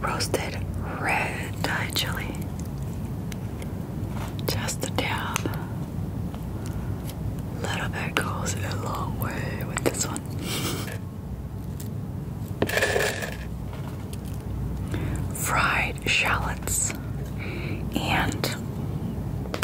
Roasted red chili. Just a dab. Little bit goes a long way with this one. Fried shallots and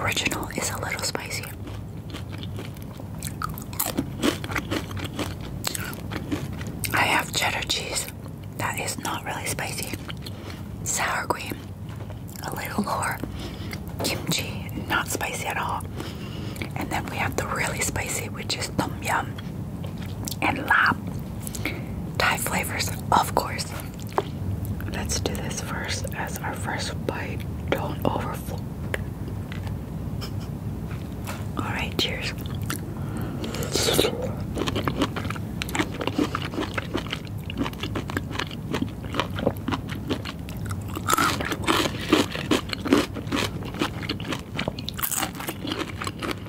Original is a little spicy. I have cheddar cheese that is not really spicy, sour cream, a little more kimchi, not spicy at all, and then we have the really spicy, which is tom yum and lap Thai flavors, of course. Let's do this first as our first bite. Don't overflow. Alright, cheers.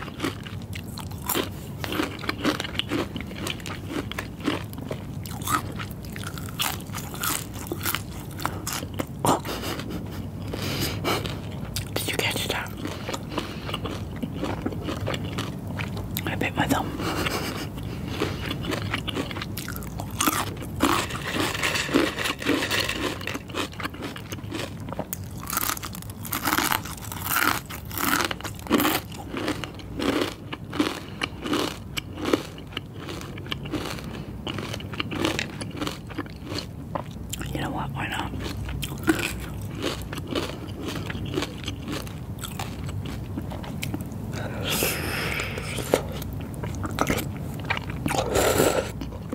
Did you catch that? I bit my thumb. You know what? Why not?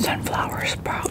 Sunflower sprout.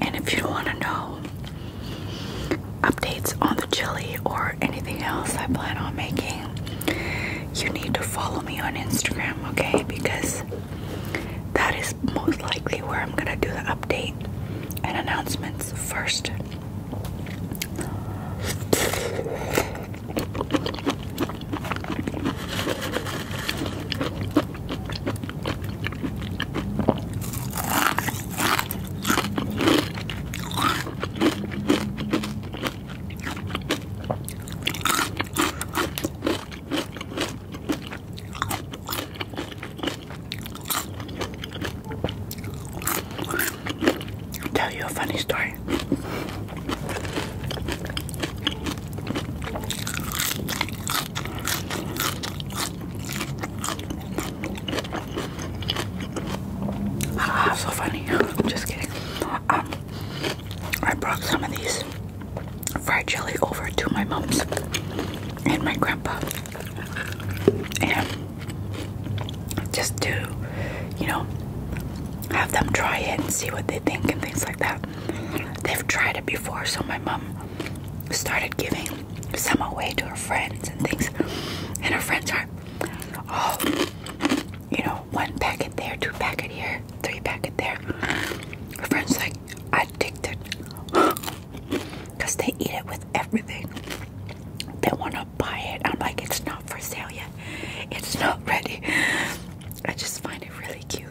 And if you want to know updates on the chili or anything else I plan on making, you need to follow me on Instagram, okay? Because that is most likely where I'm going to do the update and announcements first. I'll tell you a funny story. Ah, so funny. Just kidding. Um, I brought some of these fried jelly over to my mom and my grandpa, and just to, you know, have them try it and see what they think and things like that. They've tried it before, so my mom started giving some away to her friends and things. And her friends are, oh, you know, one packet there, two packet here, three packet there. Her friends like addicted because they eat it with everything. They want to buy it. I'm like, it's not for sale yet. It's not ready. I just find it really cute.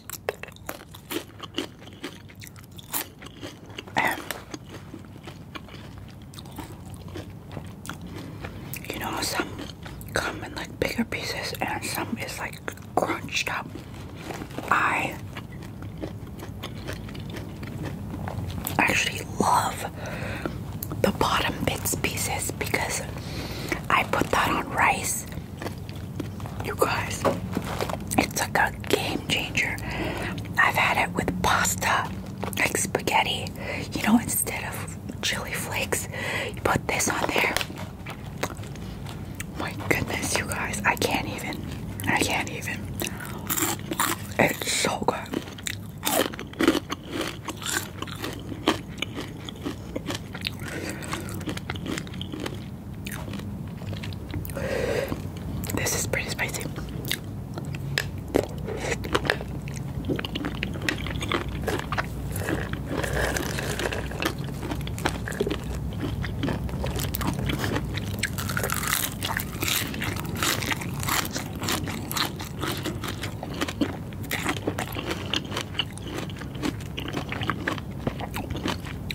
And you know, some come in like bigger pieces and some is like crunched up. I actually love the bottom bits pieces because I put that on rice you guys, it's like a game changer. I've had it with pasta, like spaghetti. You know, instead of chili flakes, you put this on there. My goodness, you guys, I can't even. I can't even. It's so good. This is pretty spicy.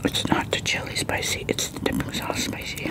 It's not the chili spicy, it's the dipping sauce spicy.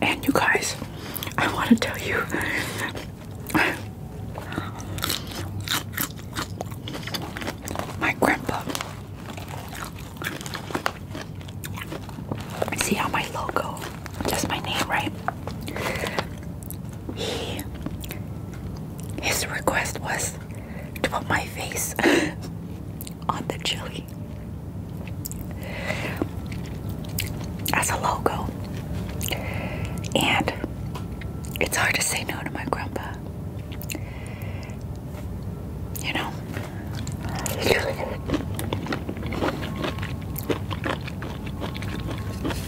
And you guys, I want to tell you my grandpa. See how my logo just my name, right? He his request was to put my face on the chili as a logo. And it's hard to say no to my grandpa. You know?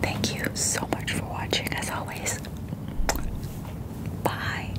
Thank you so much for watching, as always. Bye.